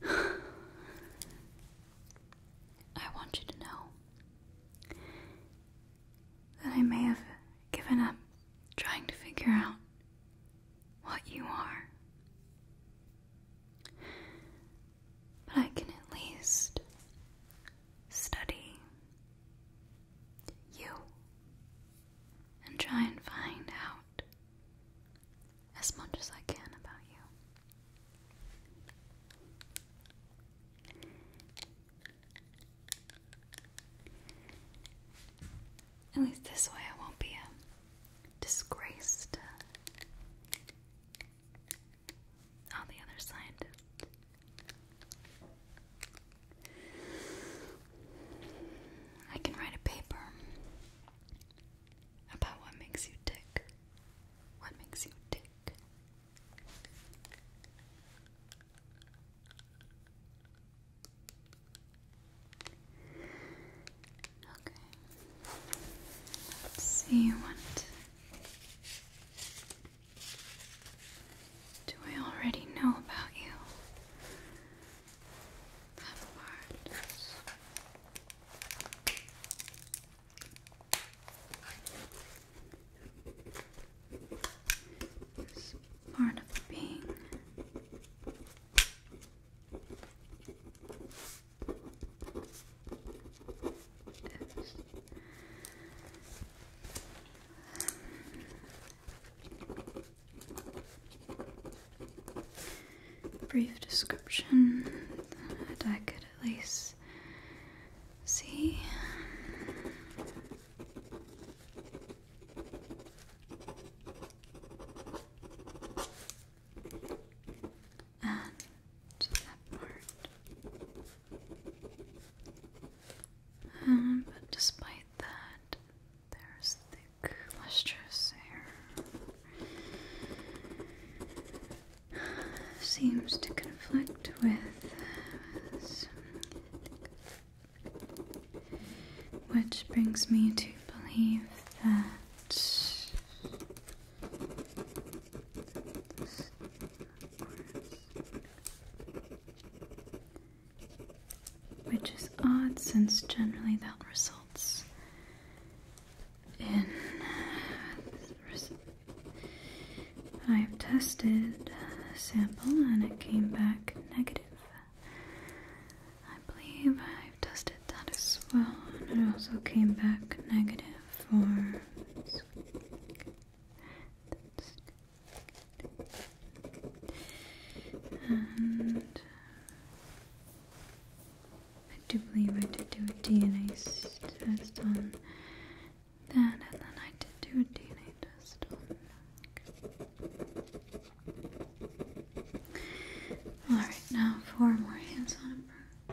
I want you to know that I may have given up trying to figure out what you are, but I can at least study you and try and find out as much as I can about you. At least this way I won't be a disgrace the other scientists. I can write a paper about what makes you tick. What makes you tick? Okay. Let's see what do I already know about you? That part. This part of being. Brief description that I could at least see. Um, but despite that, there's thick, lustrous hair. Seems to conflict with uh, which brings me to believe that which is odd since generally that results in. I've tested a sample and it came back negative. I believe I've tested that as well, and it also came back negative for. I do believe I did do a DNA test on that, and then I did do a DNA test on. Alright, now four more hands on a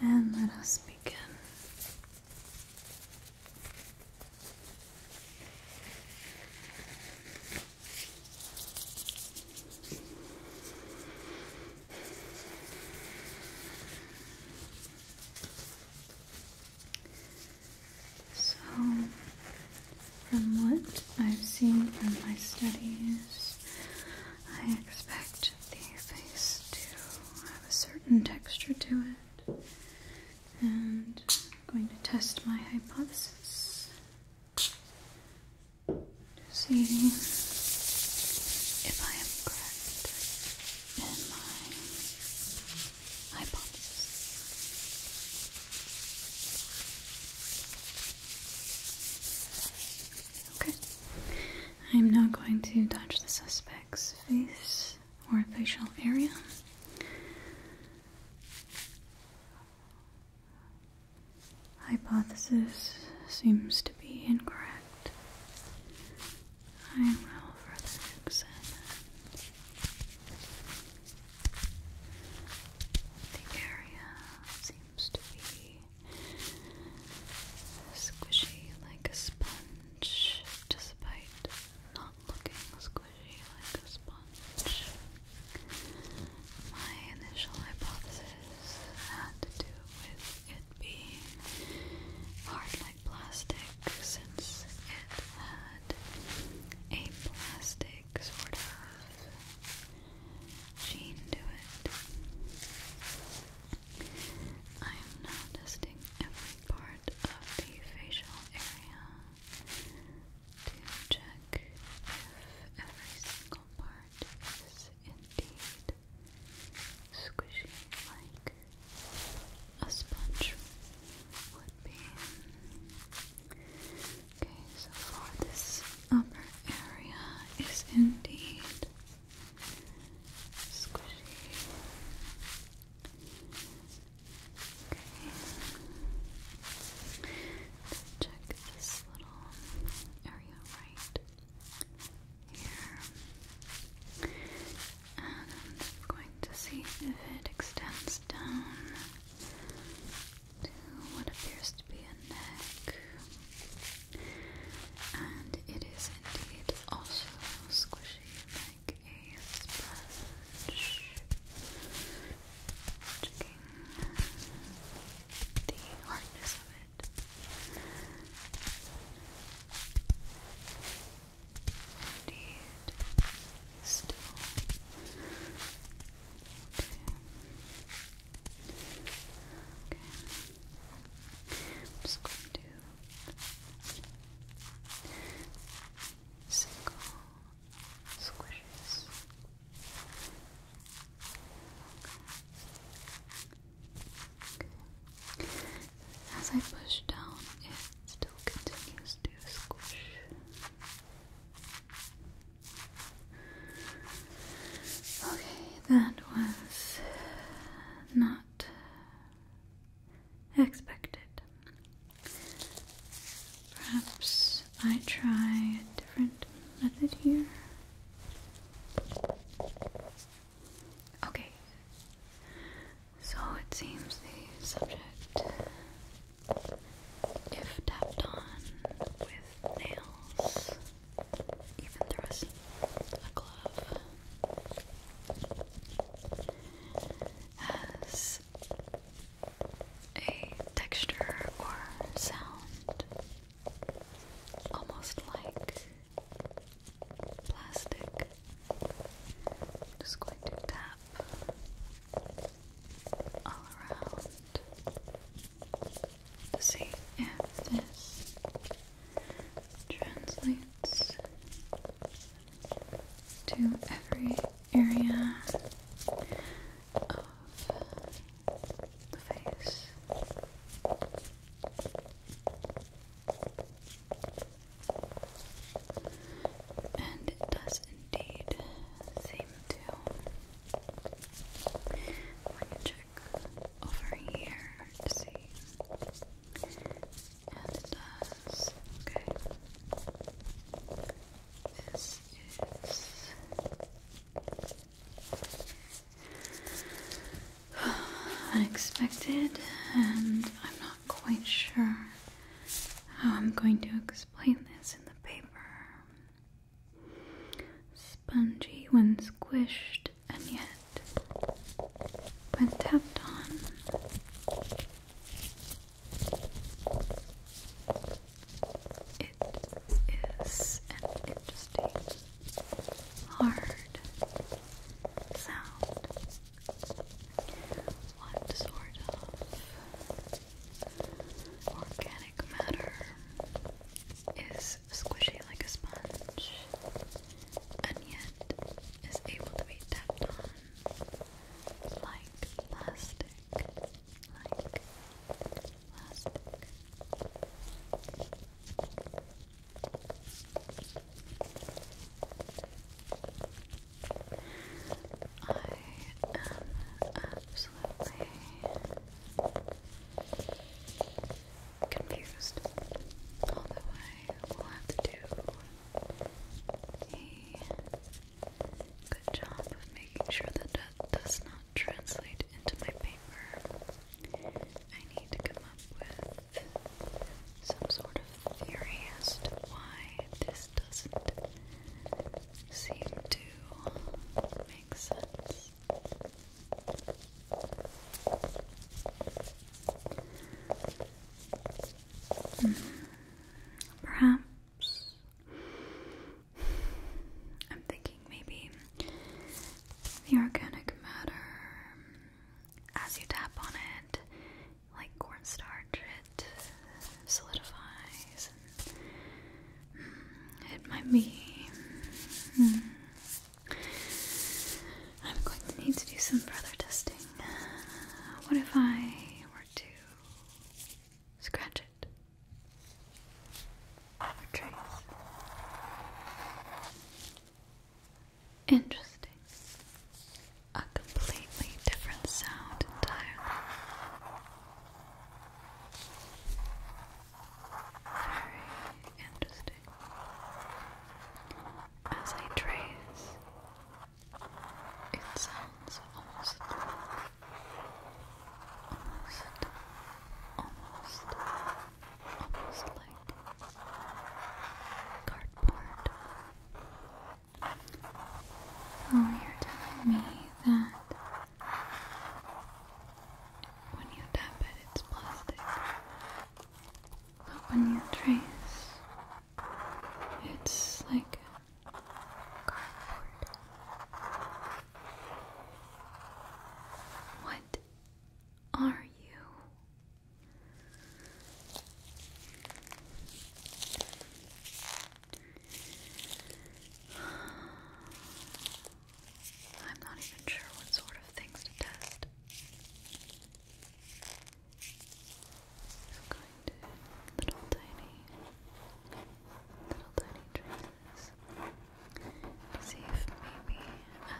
and let us begin. So, from what I've seen from my studies, I expect the face to have a certain texture to it. And I'm going to test my hypothesis to see if I am correct in my hypothesis. Okay. I'm now going to touch the suspect's face or facial area. Hypothesis seems to be incorrect. I will further examine the area seems to be Squishy like a sponge, despite not looking squishy like a sponge. My initial hypothesis had to do with it being hard like plastic, since it had a plastic sort of sheen do it. I am now testing every part of the facial area to check if every single part is indeed squishy like a sponge would be. Okay, so for this upper area is indeed squishy. Okay. Let's check this little area right here. And I'm just going to see if it extends down to what appears to be a neck. And it is indeed also squishy like a sponge. Checking the hardness of it. Indeed, still just going to single squishes. As I push down, it still continues to squish. Okay, that was not expected. Perhaps I try a different method here. Okay, so it seems the subject, if tapped on with nails, even through a glove has a texture or sound almost like plastic. just going to tap all around see if this translates to every area of the face. And it does indeed seem to over here. See? And Okay. This is unexpected, and I'm not quite sure how I'm going to explain this in the paper. Spongy when squished and yet when tapped on, it is an interesting, hard sound. What sort of organic matter is squishy like a sponge and yet is able to be tapped like plastic. Like plastic. I am absolutely confused although I will have to do a good job of making sure that that does not translate into my paper I need to come up with some sort of theory as to why this doesn't seem to make sense Perhaps I'm thinking maybe the organic matter as you tap on it, like cornstarch, it solidifies. Mm, it might be mm, I'm going to need to do some further testing. What if I were to scratch it? Interesting. A completely different sound entirely. Very interesting. As I trace, it sounds almost, almost, almost, almost like cardboard. Oh, you're telling me that when you tap it, it's plastic. But when you trace, it's like cardboard. What are you? I'm not even sure what sort of things to test. I'm going to little tiny, little tiny traces see if maybe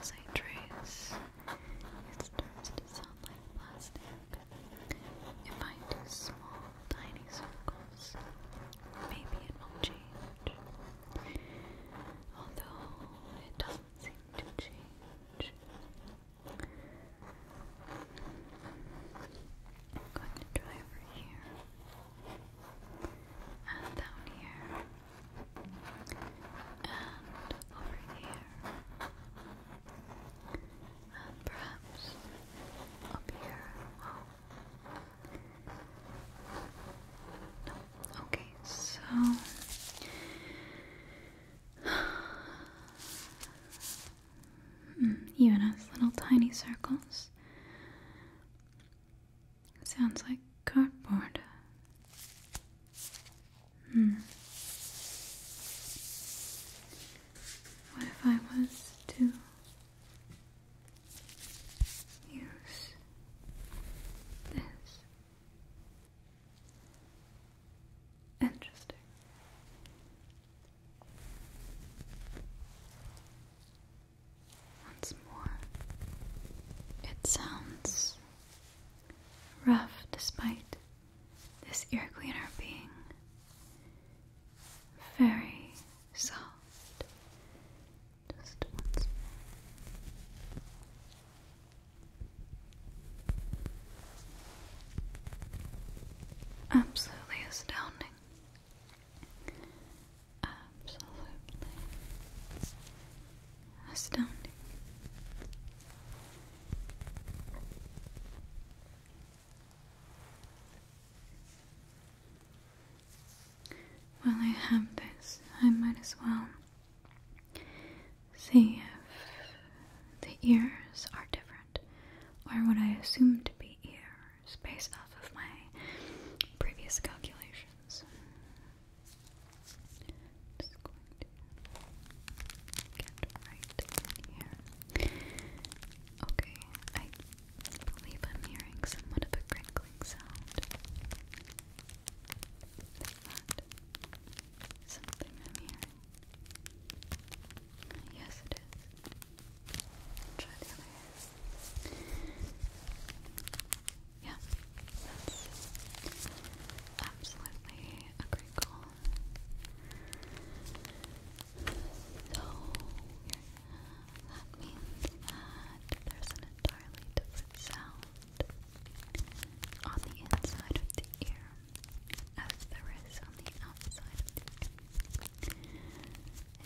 as I trace it starts to sound like plastic. If I do small, tiny circles, maybe it will change change. Although it doesn't seem to change. I'm going to try over here and down here and over here and perhaps up here. No, oh. Okay, so mm, even has little tiny circles. Sounds like cardboard. Hmm. What if I was to use this? Interesting. Once more, it sounds rough despite this ear cleaner being very soft Absolutely astounding. Absolutely astounding. While I have this, I might as well See if the ears are different, or what I assume to be ears based off of my previous calculations. Okay, I believe I'm hearing somewhat of a crinkling sound. Is that something i Yes, it is. Try the other ear. Yeah, that's absolutely a great call. So, that means that there's an entirely different sound on the inside of the ear as there is on the outside of the ear.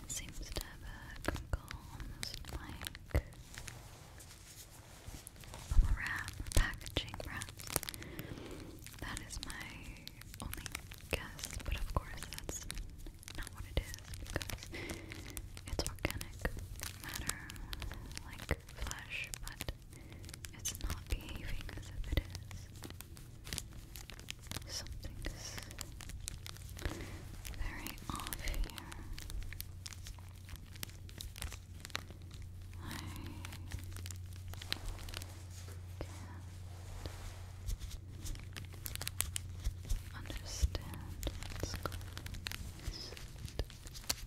It seems to have a crinkle almost like from wrap, packaging wrap. That is my only guess, but of course that's not what it is because it's organic matter, like flesh, but it's not behaving as if it is. Something's very off here. I can't understand what's going on.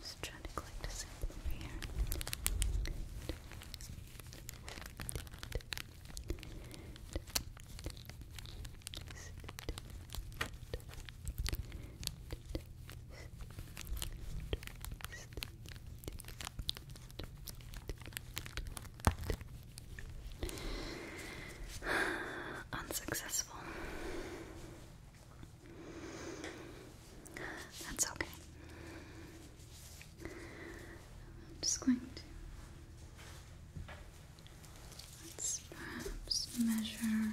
Just trying to collect a sample over here. Unsuccessful. That's okay. I'm just going to let's perhaps measure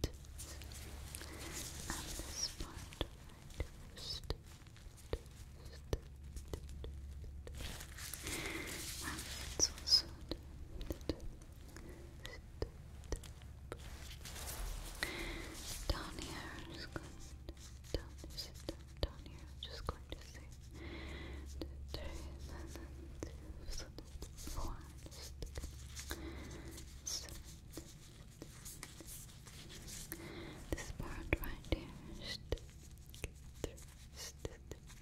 and this part right first. And it's also down here, I'm just going down here, I'm just going to say forest. So, this part right here. which means that this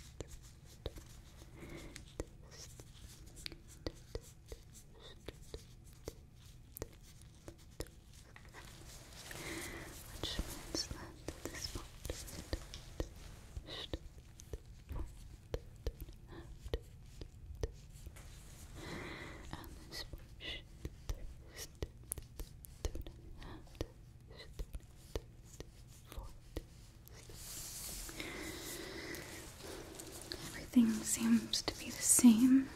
part Everything seems to be the same,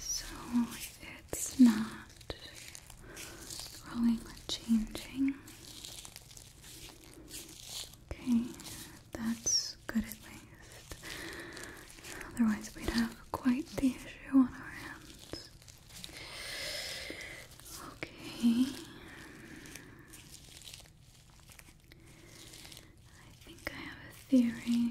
so it's not growing or changing. Okay, that's good at least. Otherwise, we'd have quite the issue on our hands. Okay. I think I have a theory.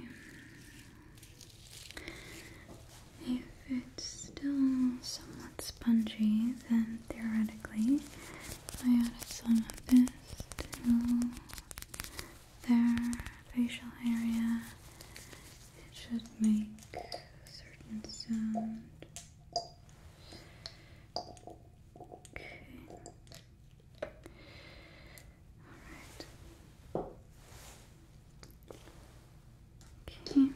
If it's still somewhat spongy, then theoretically I added some of this to their facial area. It should make a certain sound. Okay. Alright. Okay.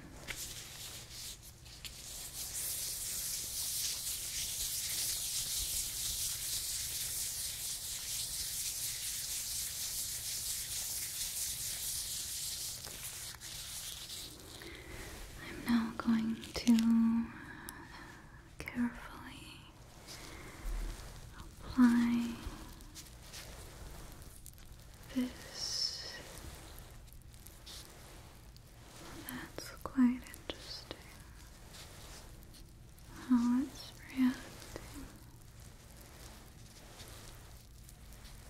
I'm now going to carefully apply this that's quite interesting. How it's reacting.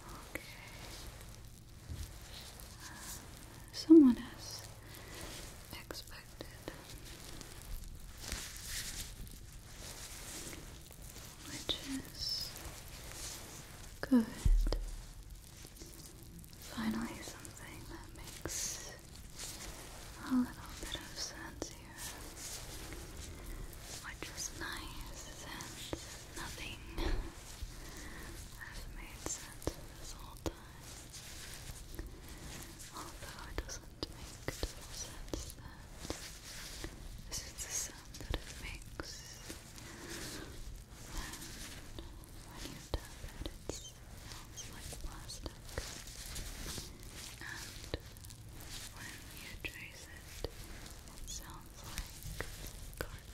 Okay. Someone has expected, which is good Finally, something that makes a little bit of sense here, which is nice since nothing has made sense this whole time. Although it doesn't make total sense that this is the sound that it makes. when you tap it, smells like plastic. And when you trace it, it sounds like cardboard.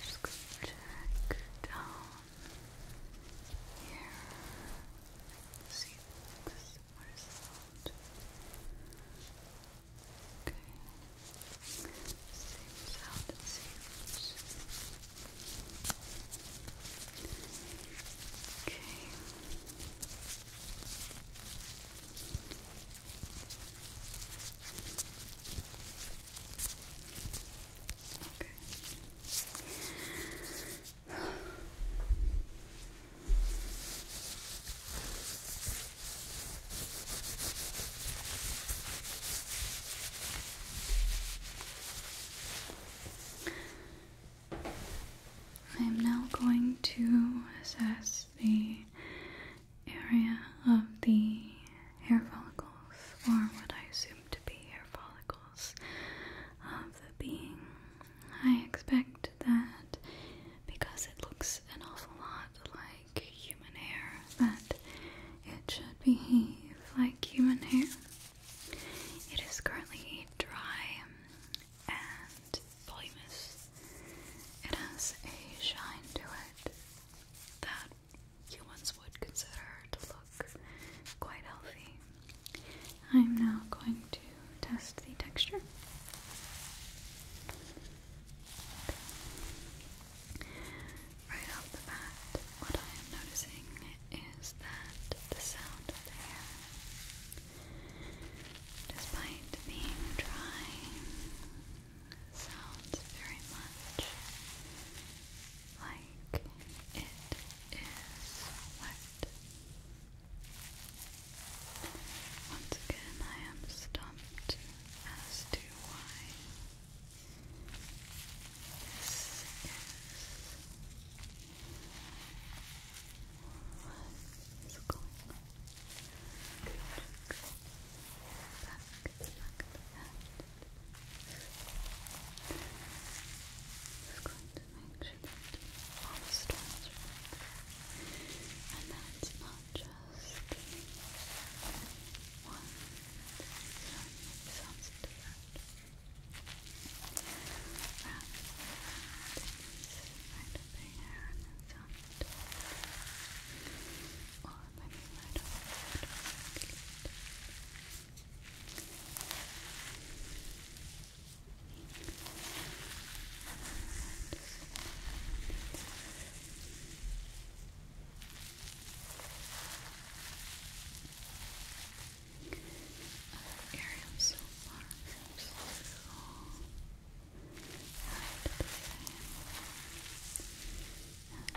Just go check down here. See this? Okay. Same sound Okay. I am now going to assess the area of the hair follicles, or what I assume to be hair follicles of the being. I expect that because it looks an awful lot like human hair, that it should behave like human hair. It is currently dry and voluminous. It has a shine to it that humans would consider to look quite healthy. I'm now going to test the texture. Right off the bat, what I am noticing is that the sound of the hair, despite being dry, sounds very much like it is wet. Once again, I am stumped as to why this is what is going on. Just going to make sure that all the strands are right. And that not just one sound, it sounds different. Wrap it right up in your hair and I mean, I don't, I don't Other area of so far seems to all kind of the same and more. I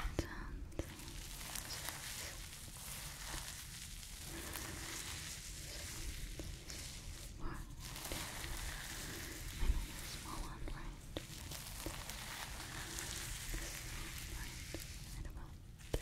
know the small one, right? Right about there. Right here.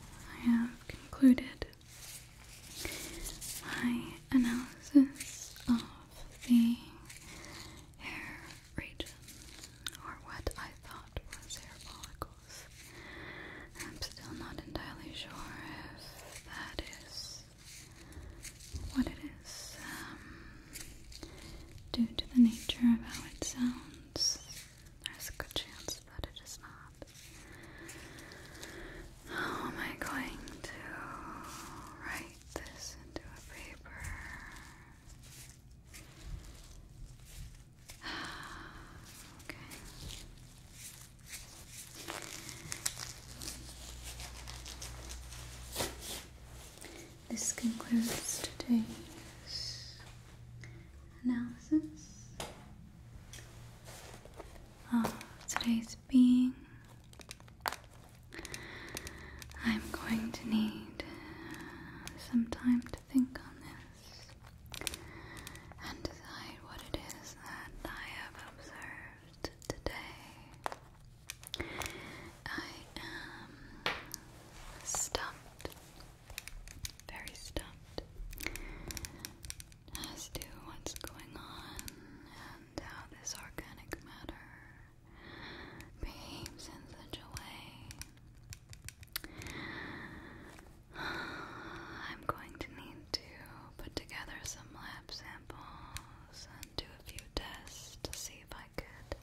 I have concluded my analysis of the hair region, or what I thought was hair follicles. I'm still not entirely sure if that is what it is. Um, due to the nature of how it sounds, there's a good chance that it is not. How am I going to write this into a paper? okay. This concludes today's analysis of today's being. I'm going to need some time to think on this and decide what it is that I have observed today. I am stumped very stumped as to what's going on and how this organic matter behaves in such a way. I'm going to need to put together some lab samples and do a few tests to see if I could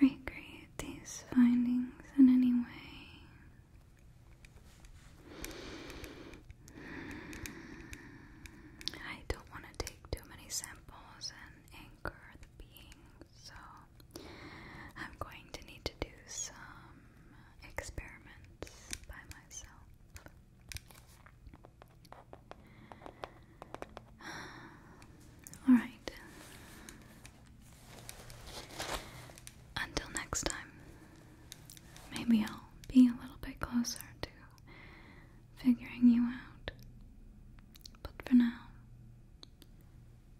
recreate these findings in any way. I don't want to take too many samples and anchor the being, so I'm going to need to do some experiments by myself. Alright, until next time, maybe I'll be a little bit closer to figuring you out. But for now,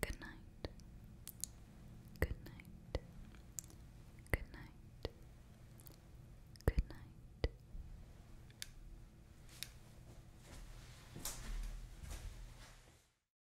good night. Good night. Good night. Good night.